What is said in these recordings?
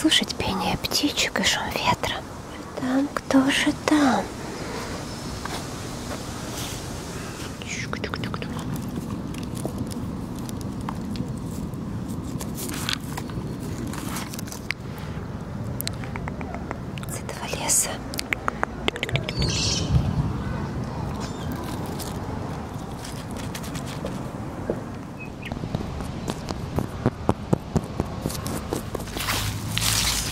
слушать пение птичек и шум ветра. Там кто же там? С этого леса.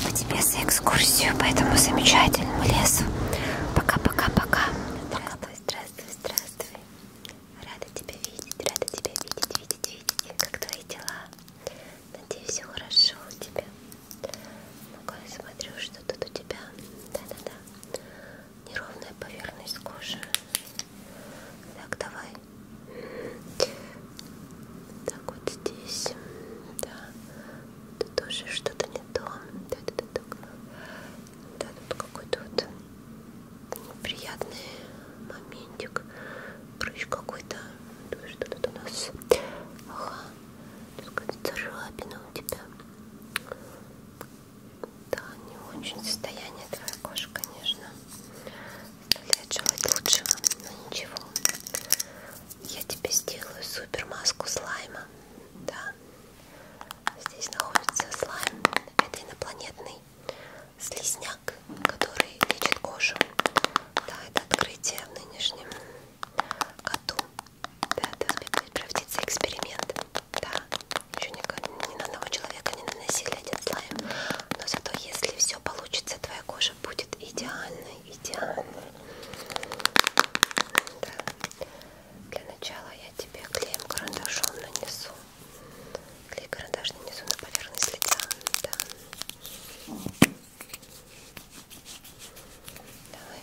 А тебе за экскурсию по этому замечательному лесу. Пока-пока-пока. Здравствуй, здравствуй, здравствуй. Рада тебя видеть, рада тебя видеть, видеть, видеть. Как твои дела? Надеюсь, все хорошо у тебя. Ну-ка, я смотрю, что тут у тебя. Да-да-да неровная поверхность кожи. Так, давай. Так, вот здесь. Да. Тут тоже что-то не то. Да, да, да, да. да тут какой-то вот неприятный моментик. Прыщ какой-то. Что тут у нас? Ага. Тут какая-то царапина у тебя. Да, не очень состояние твоей кожи, конечно, оставляет желать лучшего, но ничего. Я тебе сделаю супер маску слайма, да. Здесь находится слайм, это инопланетный слизняк, который лечит кожу. Да, это открытие в нынешнем году. Да, это правдится эксперимент. Да, еще ни, ни на одного человека не наносили один слайм, но зато если все получится, твоя кожа будет идеальной, идеальной. Да. Для начала я тебе клеем карандашом нанесу. Клей карандаш нанесу на поверхность лица. Да. Давай.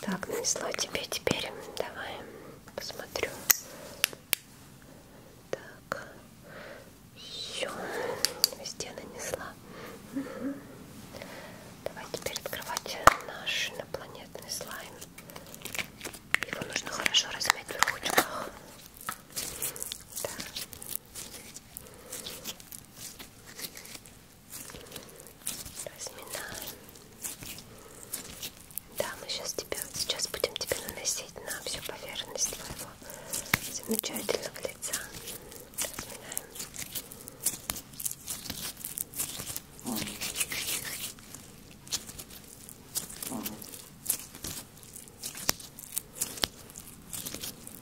Так, нанесла тебе теперь. Давай посмотрю. Так, все, везде нанесла. Угу. Давай теперь открывать наш инопланетный слайм. Его нужно хорошо размять в ручках. Да. Разминаем. Да, мы сейчас, тебя, сейчас будем тебя наносить на всю поверхность твоего замечательного лица. Разминаем.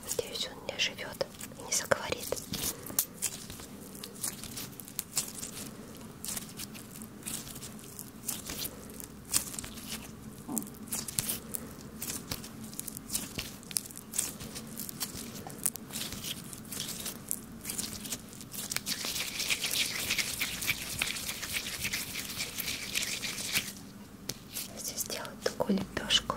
Надеюсь, он не живет и не заговорит. Здесь сделать такую лепешку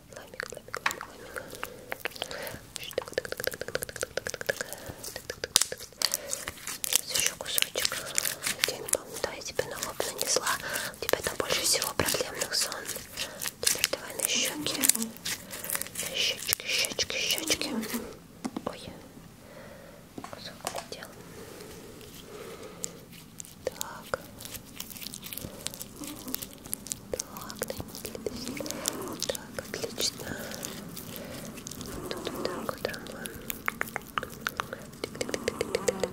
Ламик, ламик, ламик, ламик. Сейчас еще кусочек. Да, я тебе на лоб нанесла. У тебя там больше всего проблемных зон. Теперь давай на щеки. Щечки, щечки, щечки. Ой, кусок улетел. Так, так, да, так, отлично. Тут вот так вот роман. Давай.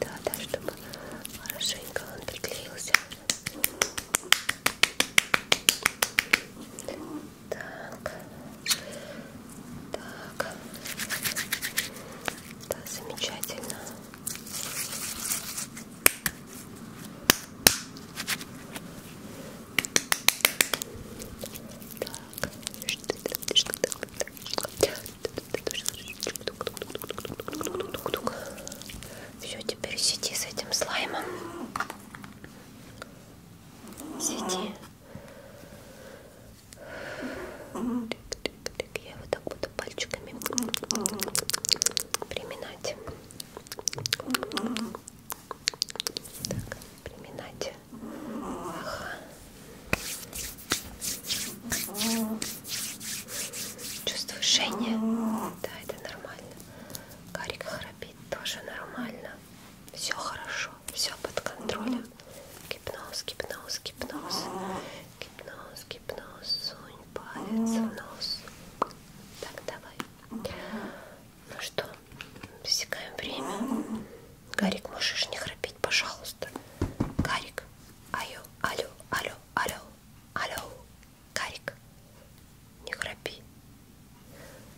Да, да, чтобы хорошенько он приклеился. Так. Так. Да, замечательно. Все, теперь сиди с этим слаймом сиди. Я его так буду пальчиками приминать. Так, приминать. Ага. Чувствуешь жжение? Да, это нормально. Карик храпит спит тоже нормально. Все хорошо, все под контролем. Гипноз, гипноз, гипноз. Гипноз, гипноз. Сунь палец в нос. Так, давай. Ну что, засекаем время. Гарик, можешь не храпеть, пожалуйста. Гарик, алло, алло, алло, алло, алло, Гарик, не храпи.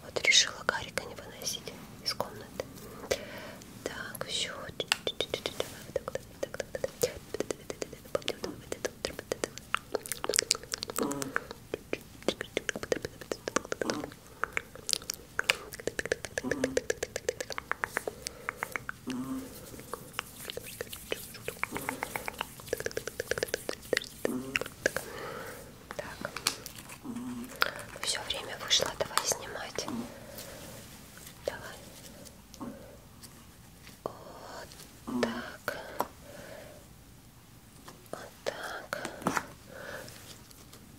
Вот решила Гарика не выносить из комнаты. Так, все. Так. Все время вышло, давай снимать. Давай. Вот так. Вот так.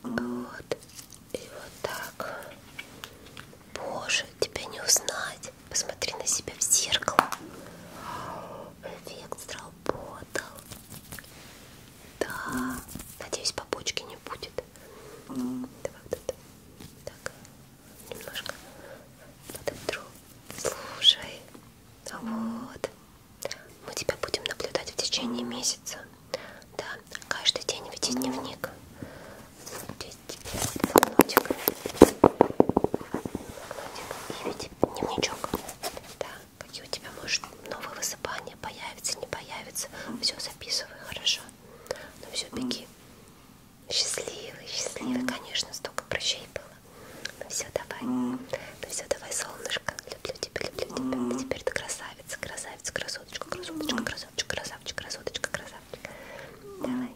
Вот. И вот так. Боже, тебя не узнать есть. Посмотри на себя в зеркало. Эффект сработал. Да. Надеюсь, побочки не будет. Давай вот это. Так. Немножко подотру. Слушай. А вот. Мы тебя будем наблюдать в течение месяца. Да. Каждый день веди дневник. Здесь тебе флакончик. И ведь дневничок. Да, какие у тебя, может, новые высыпания появятся, не появятся. Все записывай, хорошо. Ну все, беги. Счастливый, счастливый, конечно, столько прыщей было. Ну все, давай. Ну все, давай, солнышко. Люблю тебя, люблю тебя. Теперь ты красавица, красавица, красоточка, красоточка, красоточка, красавчик, красоточка, красавчик. Давай.